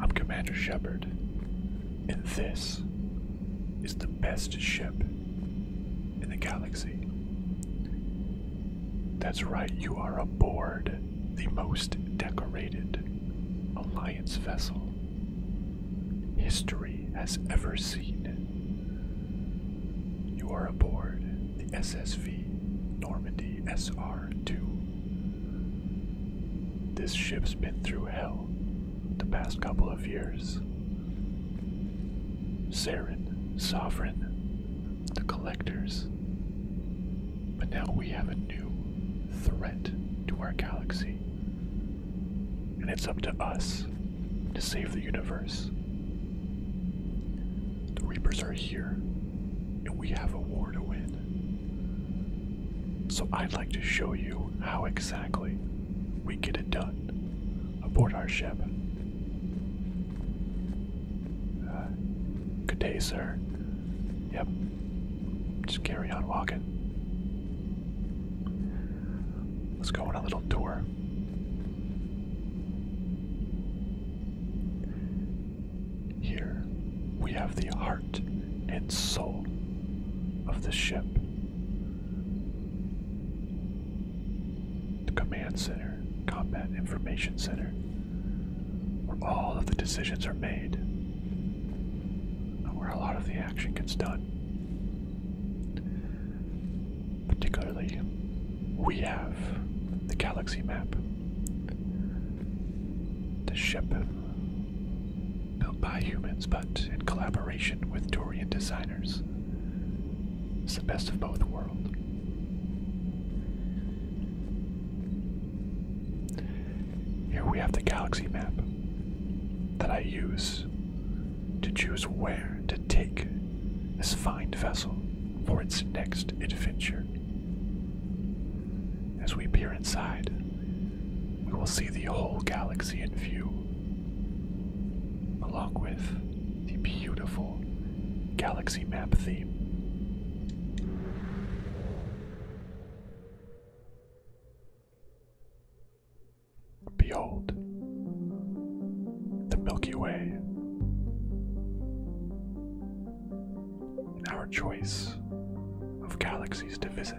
I'm Commander Shepard, and this is the best ship in the galaxy. That's right, you are aboard the most decorated Alliance vessel history has ever seen. You are aboard the SSV Normandy senior 2 This ship's been through hell the past couple of years. Saren, Sovereign, the Collectors. But now we have a new threat to our galaxy. And it's up to us to save the universe. The Reapers are here, and we have a war to win. So I'd like to show you how exactly we get it done aboard our ship. Uh, good day, sir. Yep. Just carry on walking. Let's go on a little tour here we have the heart and soul of the ship. The command center, combat information center, where all of the decisions are made, and where a lot of the action gets done particularly, we have the galaxy map. The ship, built by humans but in collaboration with Dorian designers, it's the best of both worlds. Here we have the galaxy map that I use to choose where to take this fine vessel for its next adventure. As we peer inside, we will see the whole galaxy in view, along with the beautiful galaxy map theme. Behold, the Milky Way. in our choice of galaxies to visit.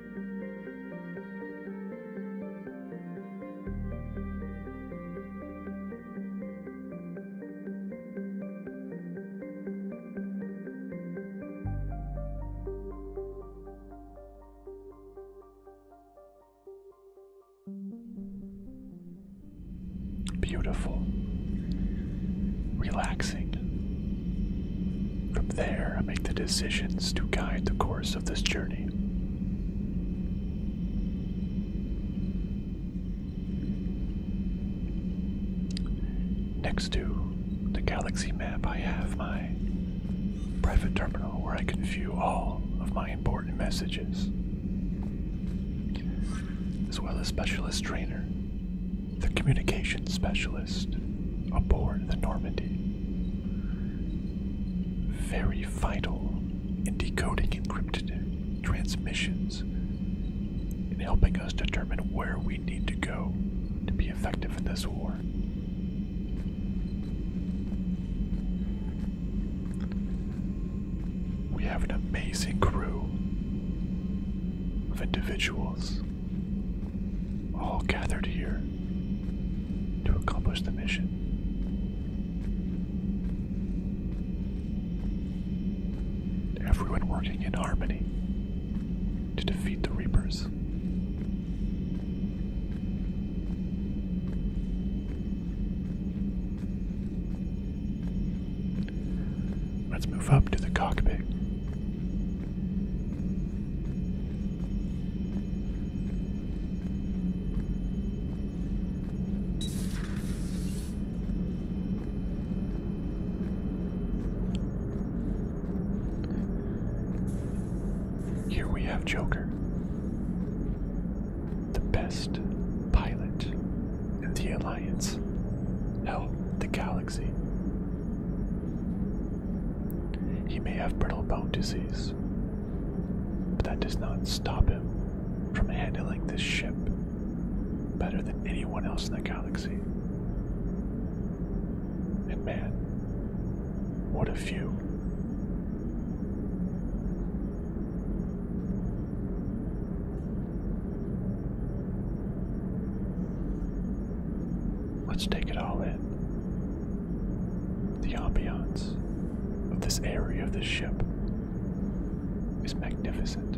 Beautiful, relaxing, from there, I make the decisions to guide the course of this journey. Next to the galaxy map, I have my private terminal where I can view all of my important messages, as well as Specialist Trainer, the communication specialist aboard the Normandy. Very vital in decoding encrypted transmissions and helping us determine where we need to go to be effective in this war. We have an amazing crew of individuals all gathered here to accomplish the mission. Everyone working in harmony to defeat the Reapers. Let's move up to the cockpit here we have Joker, the best pilot in the Alliance, hell, the galaxy. He may have brittle bone disease, but that does not stop him from handling this ship better than anyone else in the galaxy. And man, what a few. Let's take it all in. The ambiance of this area of this ship is magnificent.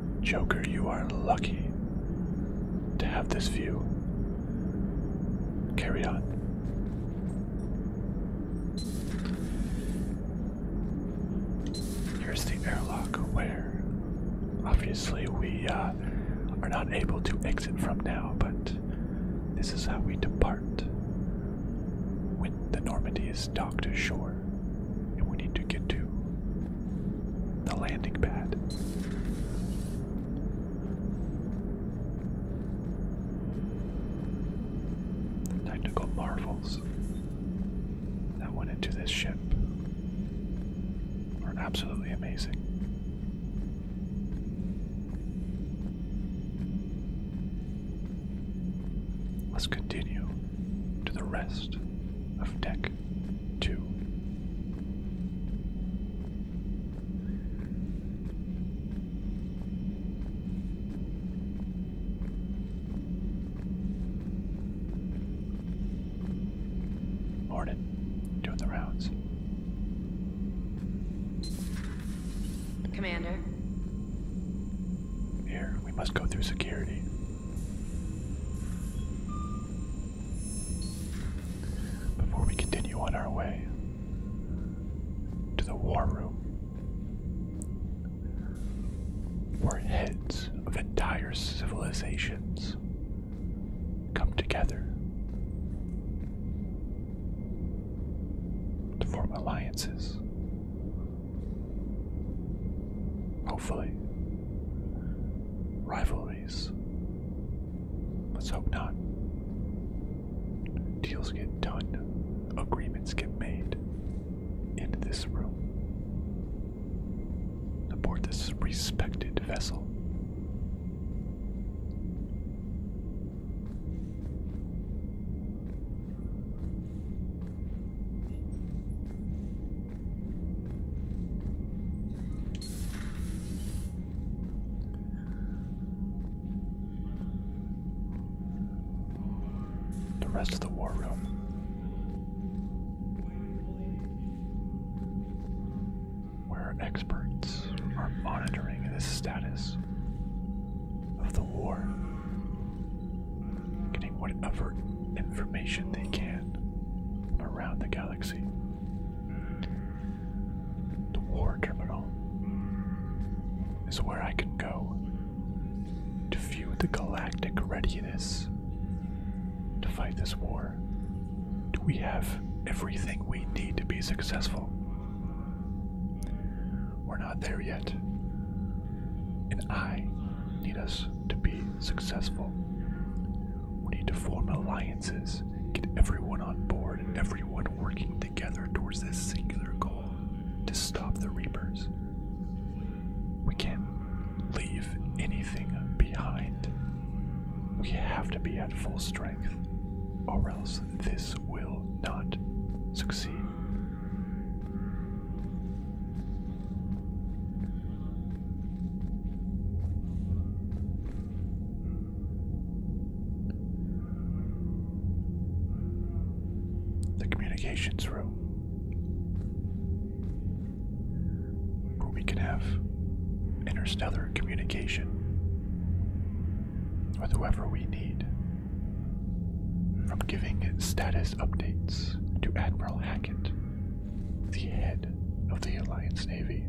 Joker, you are lucky to have this view. Carry on. Here's the airlock where obviously we uh, are not able to exit from now, but this is how we depart when the Normandy is docked ashore and we need to get to the landing pad. The technical marvels that went into this ship are absolutely amazing. Let's continue to the rest of Deck two. doing the rounds. Commander. Here, we must go through security before we continue on our way to the war room, where heads of entire civilizations come together to form alliances Hopefully. Rivalries. Let's hope not. Deals get done, agreements get made in this room. Aboard this respected vessel. The rest of the war room. Where experts are monitoring the status of the war getting whatever information they can around the galaxy. The war terminal is where I can go to view the galactic readiness to fight this war. Do we have everything we need to be successful? We're not there yet. And I need us to be successful. We need to form alliances, get everyone on board, everyone working together towards this singular goal to stop the Reapers. We can't leave anything behind. We have to be at full strength, or else this will not succeed. The communications room where we can have interstellar communication with whoever we need. From giving status updates to Admiral Hackett the head of the Alliance Navy.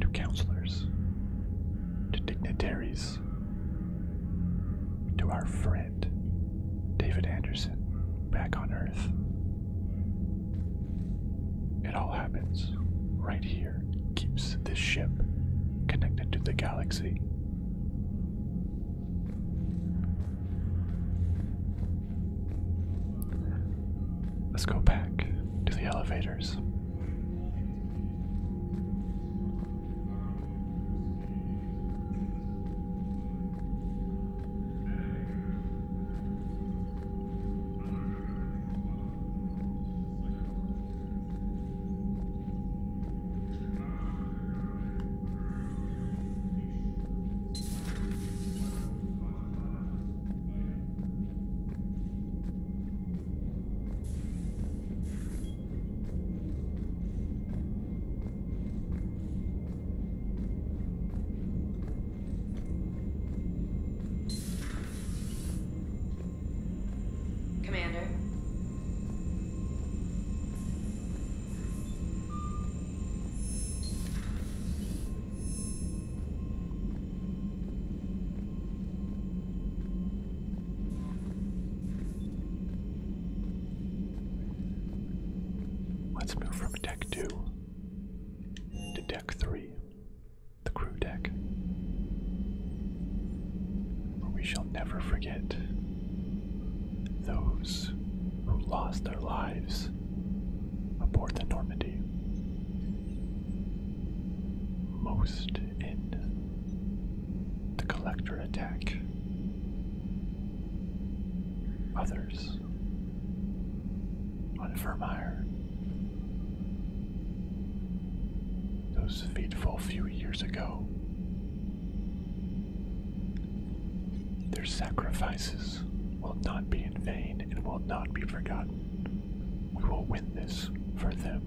To counselors, to dignitaries, to our friend David Anderson back on Earth. It all happens right here, keeps this ship connected to the galaxy. Let's go back to the elevators. Commander. Let's move from deck two to deck three, the crew deck for we shall never forget those who lost their lives aboard the Normandy. Most in the collector attack, others on Vermeer. Those fateful few years ago their sacrifices will not be in vain and will not be forgotten. We will win this for them.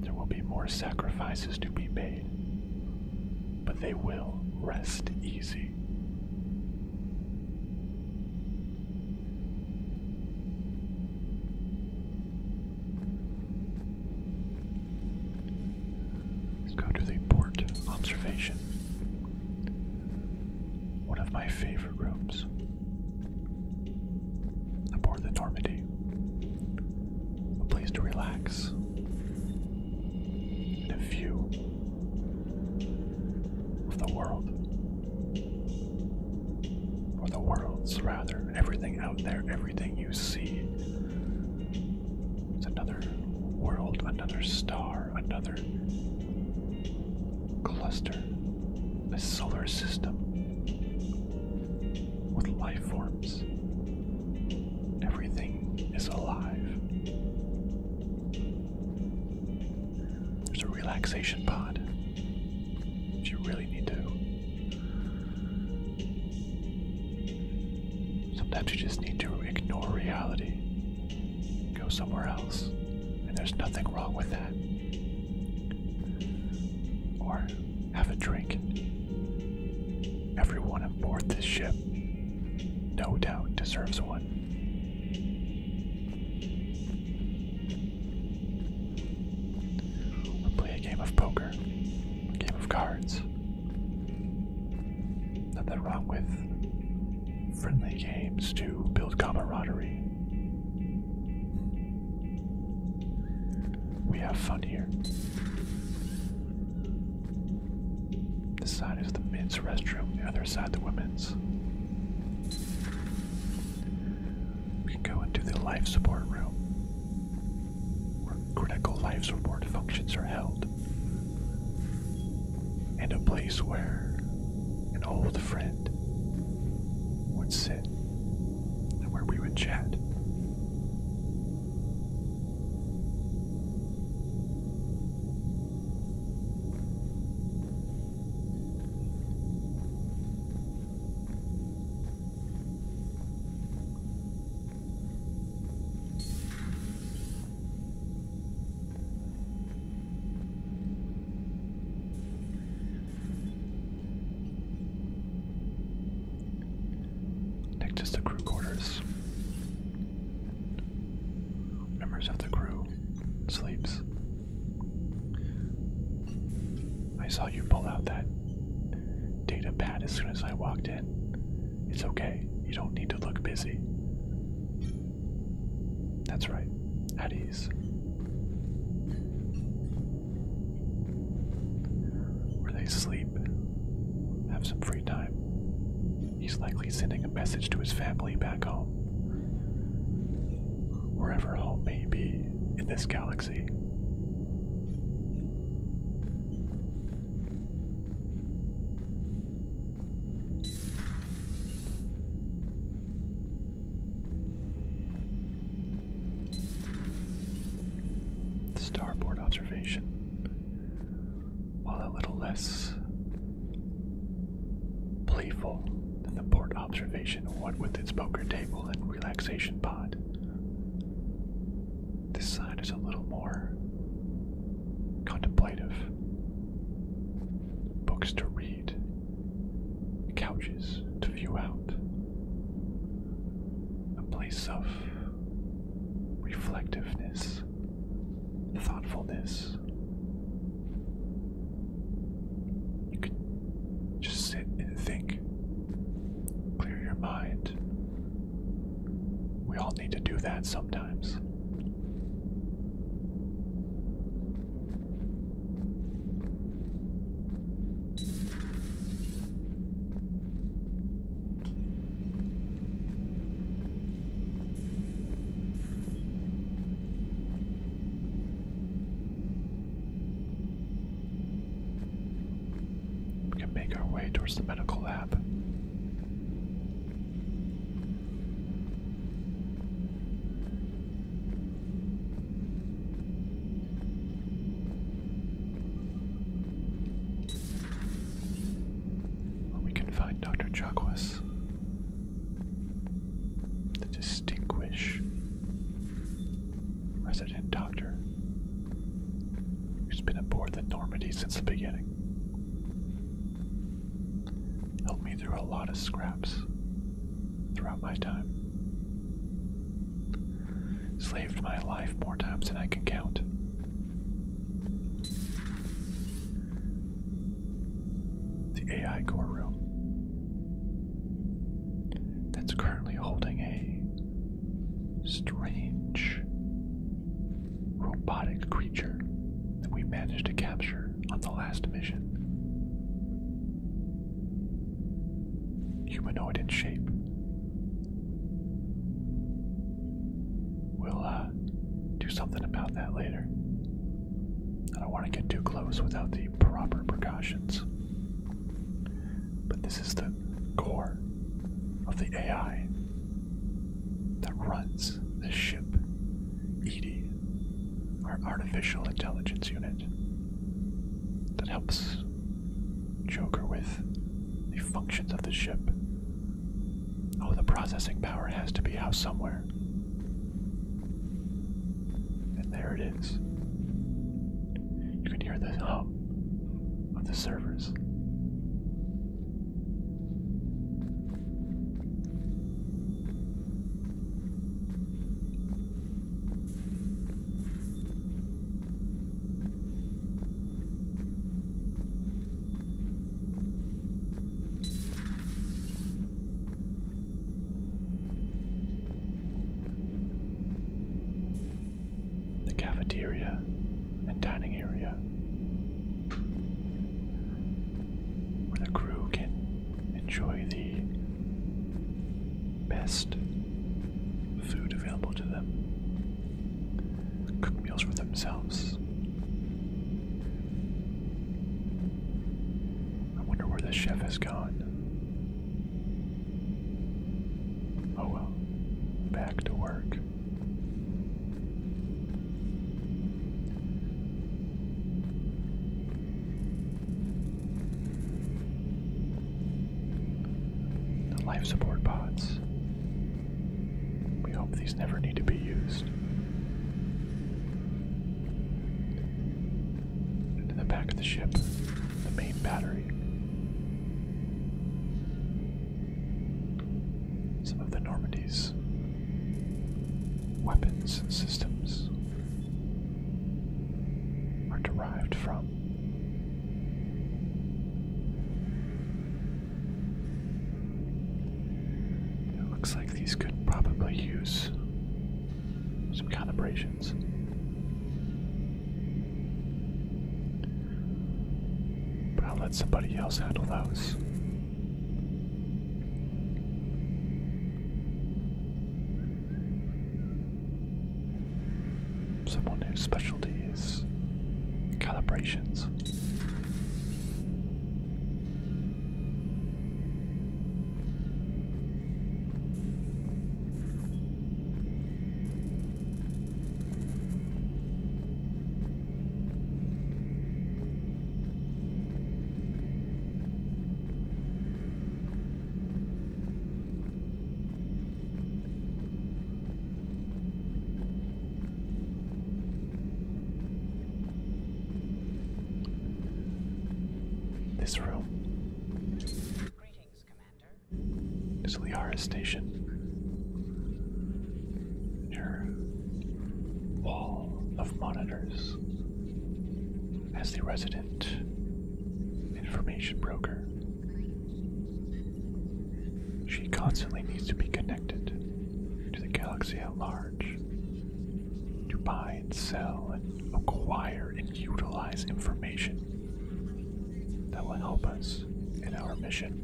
There will be more sacrifices to be made, but they will rest easy. Let's go to the port observation. One of my favorite rooms. Aboard the Normandy. A place to relax. And a view of the world. Or the worlds, rather everything out there, everything you see. It's another world, another star, another cluster, a solar system with life forms. Everything is alive. There's a relaxation pod. If you really need to Sometimes you just need to ignore reality, go somewhere else, and there's nothing wrong with that. Or have a drink. Everyone aboard this ship, no doubt, deserves one. Or play a game of poker game of cards. Nothing wrong with friendly games to build camaraderie. We have fun here. This side is the men's restroom, the other side, the women's. We can go into the life support room where critical life support functions are held, and a place where an old friend would sit and where we would chat. Next is the crew quarters. Members of the crew sleeps. I saw you pull out that data pad as soon as I walked in. It's okay. You don't need to look busy. That's right. At ease. Where they sleep, have some free time. He's likely sending a message to his family back home. Wherever home may be in this galaxy. Rosie. Starboard observation, while a little less playful than the port observation, what with its poker table and relaxation pod. This side is a little more contemplative. Books to read, couches to view out, a place of reflectiveness, thoughtfulness. You could just sit and think, clear your mind, we all need to do that sometimes. We can make our way towards the medical lab. where we can find Dr. Chakwas. The distinguished resident doctor who's been aboard the Normandy since the beginning. Helped me through a lot of scraps throughout my time. Slaved my life more times than I can count. The AI core room that's currently holding a strange robotic creature that we managed to capture on the last mission. Humanoid in shape. We'll uh, do something about that later. I don't want to get too close without the proper precautions. But this is the core of the AI that runs this ship, Edie, our artificial intelligence unit, that helps Joker with the functions of the ship. Oh, the processing power has to be out somewhere. And there it is. You can hear this. hum of the servers the cafeteria and dining area, where the crew can enjoy the best food available to them, cook meals for themselves. I wonder where the chef has gone. Oh well. Back to work. The life support pods. We hope these never need to be used. And the back of the ship, the main battery some of the Normandy's weapons and systems are derived from. It looks like these could probably use some calibrations. But I'll let somebody else handle those. Someone whose specialty is calibrations. This room. Greetings, Commander is Liara's Station. Your wall of monitors as the resident information broker. She constantly needs to be connected to the galaxy at large to buy and sell and acquire and utilize information that will help us in our mission.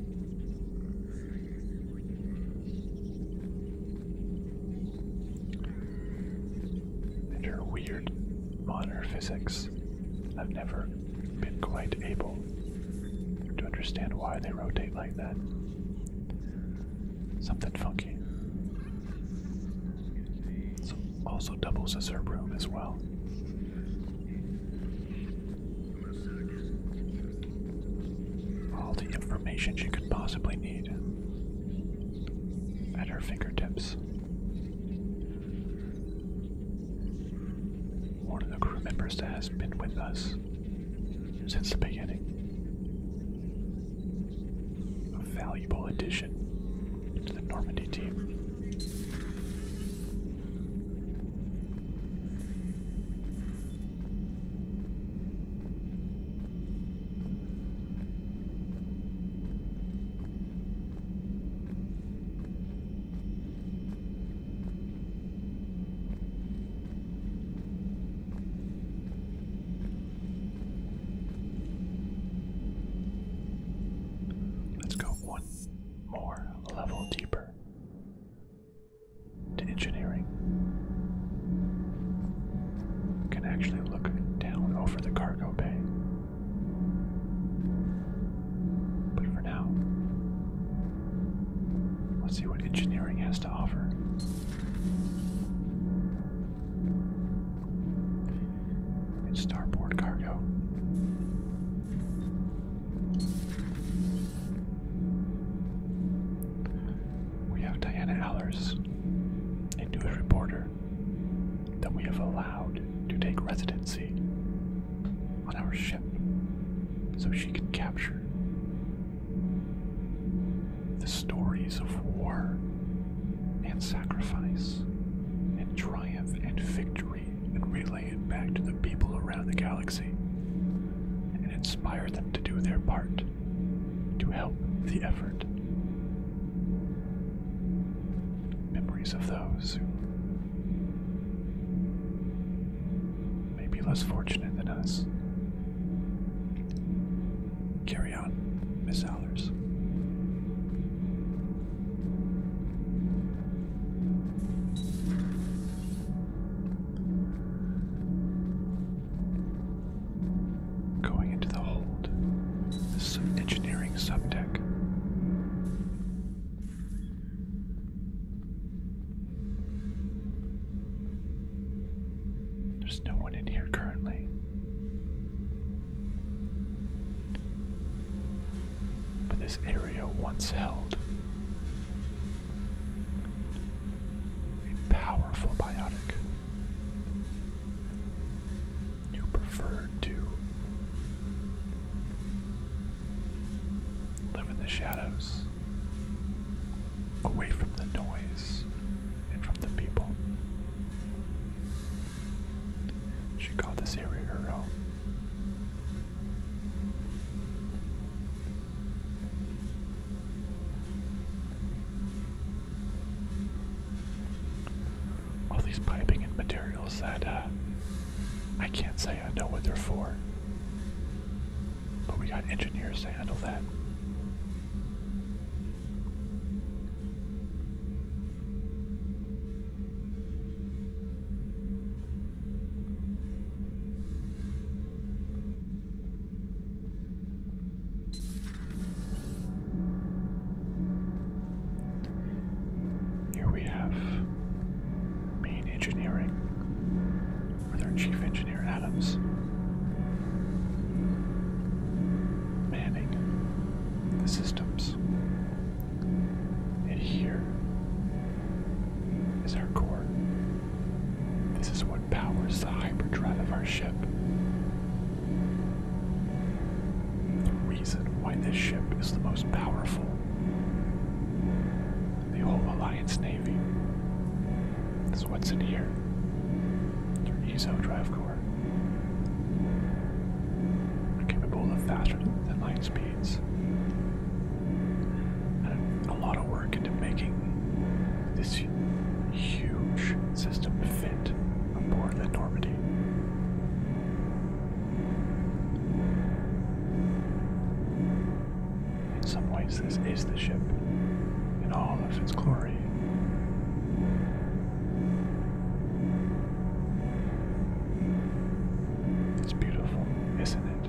And weird modern physics. I've never been quite able to understand why they rotate like that. Something funky. also doubles as her room as well. All the information she could possibly need at her fingertips. One of the crew members that has been with us since the beginning. A valuable addition to the Normandy team. Let's go one more level deeper to engineering. Can actually look down over the cargo bay. But for now, let's see what engineering has to offer. In starboard cargo, we have Diana Allers, a news reporter that we have allowed to take residency on our ship so she can capture the stories of war and sacrifice and triumph and victory and relay it back to the people around the galaxy and inspire them to do their part to help the effort. Memories of those who may be less fortunate than us. Carry on, Miss Allers. Going into the hold. This is an engineering subdeck. There's no one in here currently but this area once held a powerful biotic. You preferred to live in the shadows, away from the noise and from the people. She called this area her home. All these piping and materials that uh, I can't say I know what they're for. But we got engineers to handle that. Here we have main engineering with our chief engineer Adams. Manning the systems and here is our core. This is what powers the hyperdrive of our ship. The reason why this ship is the most powerful in the whole Alliance Navy is what's in here. Your ESO drive core. Capable of faster than light speed a lot of work into making this huge system fit aboard the Normandy. In some ways, this is the ship in all of its glory. It's beautiful, isn't it?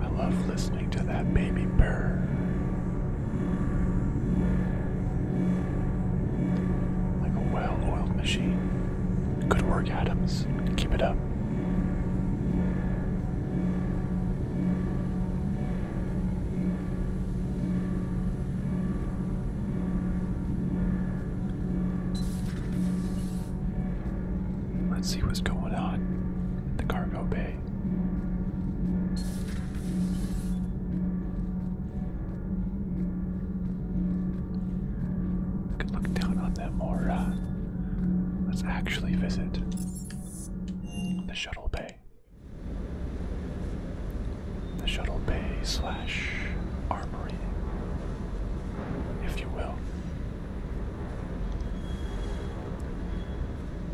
I love listening to that baby bird. Like a well-oiled machine. Good work, Adams. Keep it up. Let's see what's going on at the cargo bay. Could look down on them or let's actually visit the shuttle bay. The shuttle bay slash armory, if you will.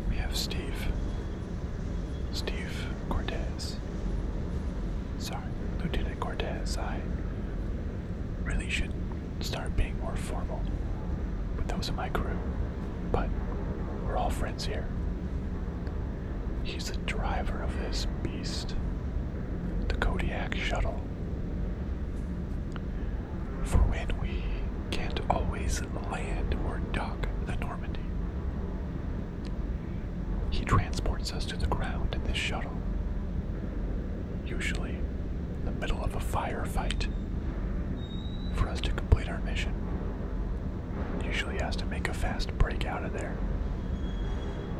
We have Steve Steve Cortez. Sorry, Lieutenant Cortez, I really should start being more formal with those in my crew, but we're all friends here. He's the driver of this beast, the Kodiak shuttle. For when we can't always land or dock the Normandy, he transports us to the ground in this shuttle, usually in the middle of a firefight. For us to complete our mission, usually has to make a fast break out of there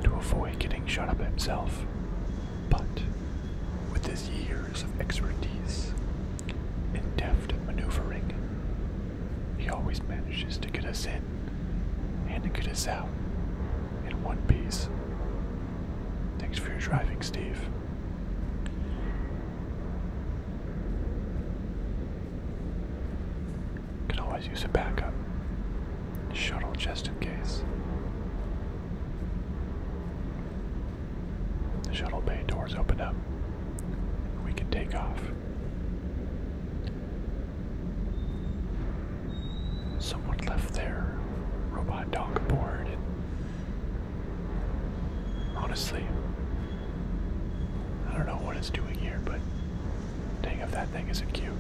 to avoid getting shot up himself. But with his years of expertise and deft maneuvering, he always manages to get us in and to get us out in one piece. Thanks for your driving, Steve. Can always use a backup shuttle just in case. The shuttle bay doors open up. We can take off. Someone left there. robot dog aboard, honestly, I don't know what it's doing here, but dang if that thing isn't cute.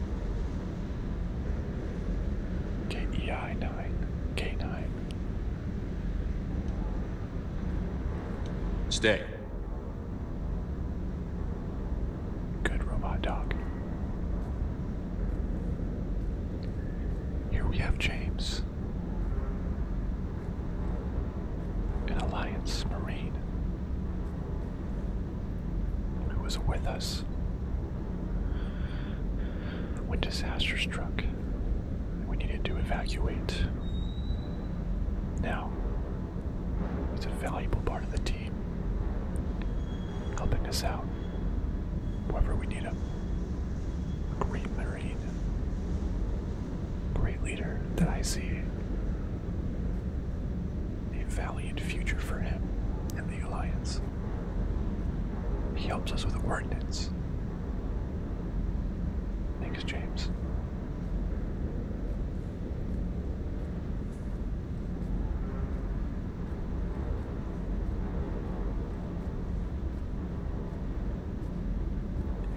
KEI9, K9. Stay. Good robot dog. Here we have James, an Alliance Marine who was with us when disaster struck. We needed to evacuate. Now, He's a valuable part of the team, helping us out wherever we need him. A great Marine, great leader that I see. A valiant future for him and the Alliance. He helps us with ordnance. Thanks, James.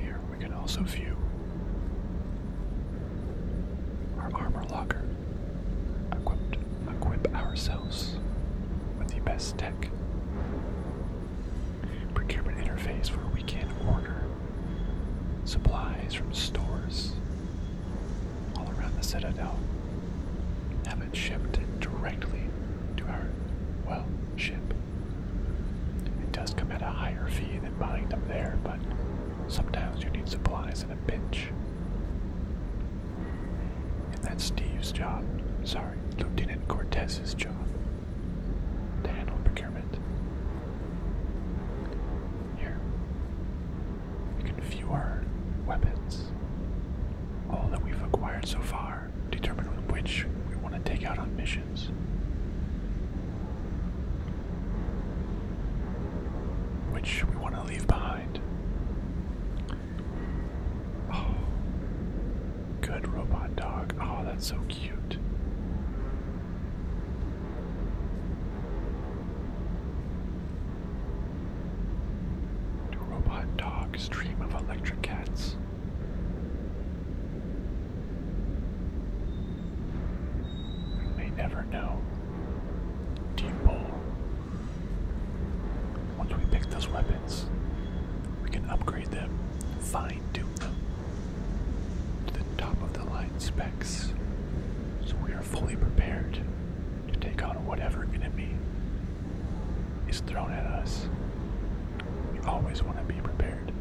Here we can also view our armor locker. Equipped, equip ourselves with the best tech. Procurement interface where we can order supplies from stores all around the citadel have it shipped directly to our, well, ship. It does come at a higher fee than buying them there, but sometimes you need supplies in a pinch. And that's Steve's job. Sorry, Lieutenant Cortez's job. To handle procurement. Here. We can view our weapons. All that we've acquired so far, determine which we want to take out on missions. Which we want to leave behind. Oh, good robot dog. Oh, that's so cute robot dogs dream of electric cats. You may never know. Deep Once we pick those weapons, we can upgrade them, Fine to the top of the line specs so we are fully prepared to take on whatever enemy is thrown at us. We always want to be prepared.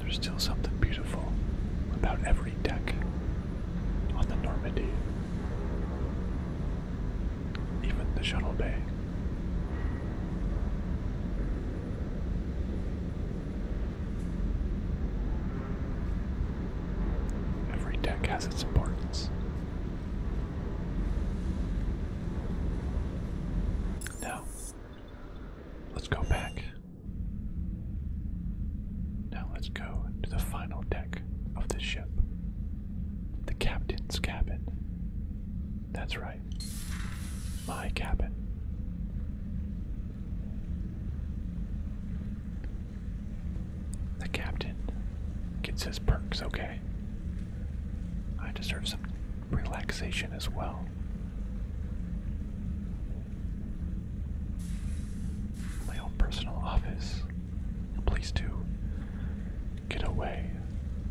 There's still something beautiful about every deck on the Normandy, even the shuttle bay. Every deck has its importance. Now, let's go back. Now, let's go to the final deck of the ship the captain's cabin. That's right, my cabin. The captain gets his perks, okay? I deserve some relaxation as well. My own personal office. A place to get away.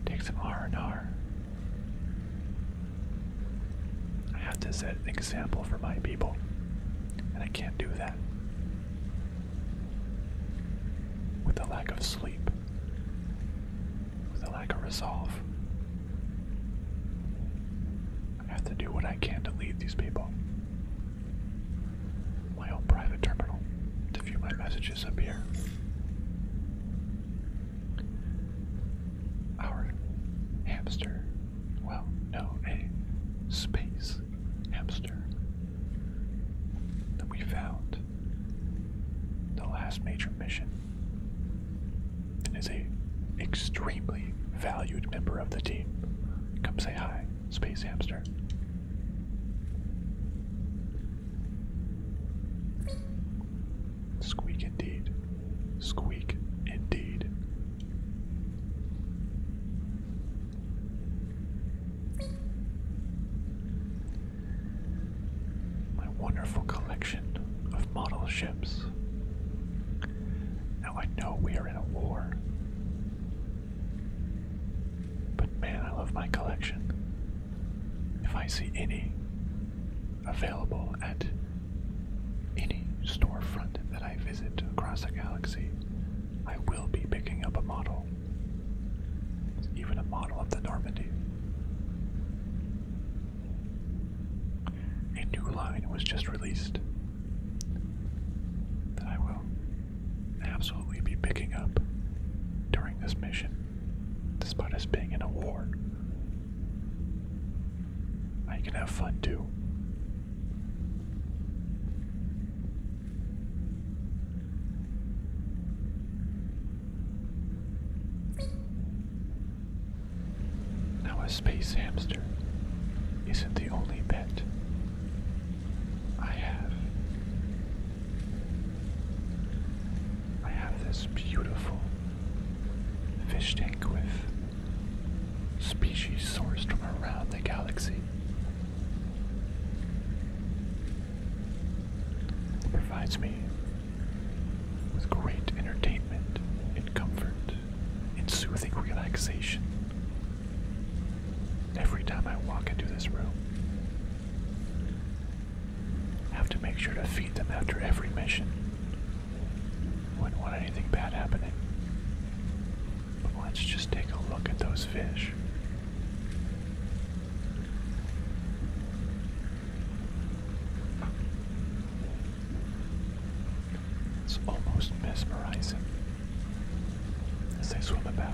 Take some R&R. I have to set an example for my people, and I can't do that. With a lack of sleep, with a lack of resolve, I have to do what I can to lead these people. My own private terminal to view my messages up here. Our hamster, well, no, a space hamster that we found the last major mission and is a extremely valued member of the team. Come say hi, Space Hamster. Squeak indeed. Squeak indeed. My wonderful collection of model ships. Now I know we are in a war. But man, I love my collection. If I see any available at any storefront that I visit across the galaxy, I will be picking up a model. Even a model of the Normandy. A new line was just released that I will absolutely be picking up during this mission, despite us being in a war. I can have fun too. Now a space hamster isn't the only pet I have. I have this beautiful fish tank with species sourced from around the galaxy. provides me with great entertainment and comfort and soothing relaxation every time I walk into this room. I have to make sure to feed them after every mission. Wouldn't want anything bad happening. Let's just take a look at those fish. It's almost mesmerizing as they swim about.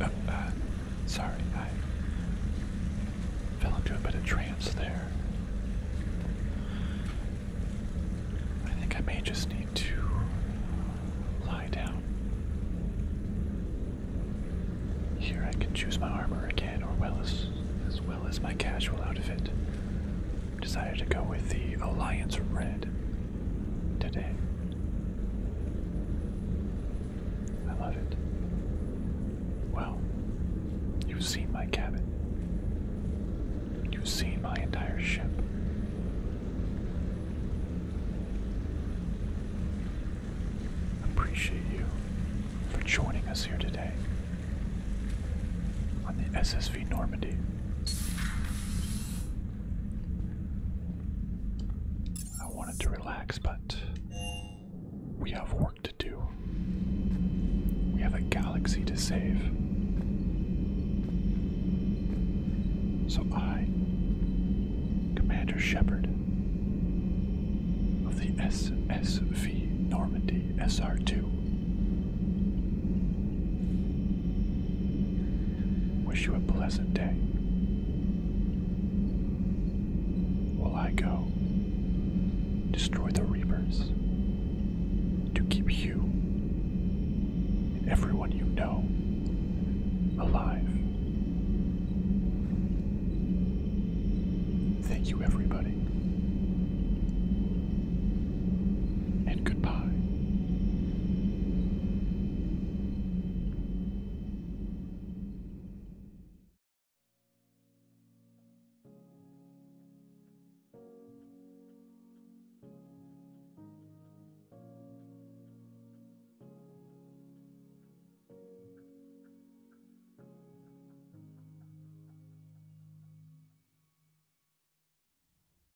Uh, uh, sorry, I fell into a bit of trance there. I think I may just need to lie down. Here I can choose my armor again, or as, as well as my casual outfit. Decided to go with the Alliance Red today. I love it. Well, you've seen my cabin. You've seen my entire ship. Appreciate you for joining us here today on the SSV Normandy. I wanted to relax, but we have work to do. We have a galaxy to save. So I, Commander Shepard of the SSV Normandy senior 2 Wish you a pleasant day. While I go, destroy the Reapers to keep you and everyone you know alive. Thank you, everybody and goodbye.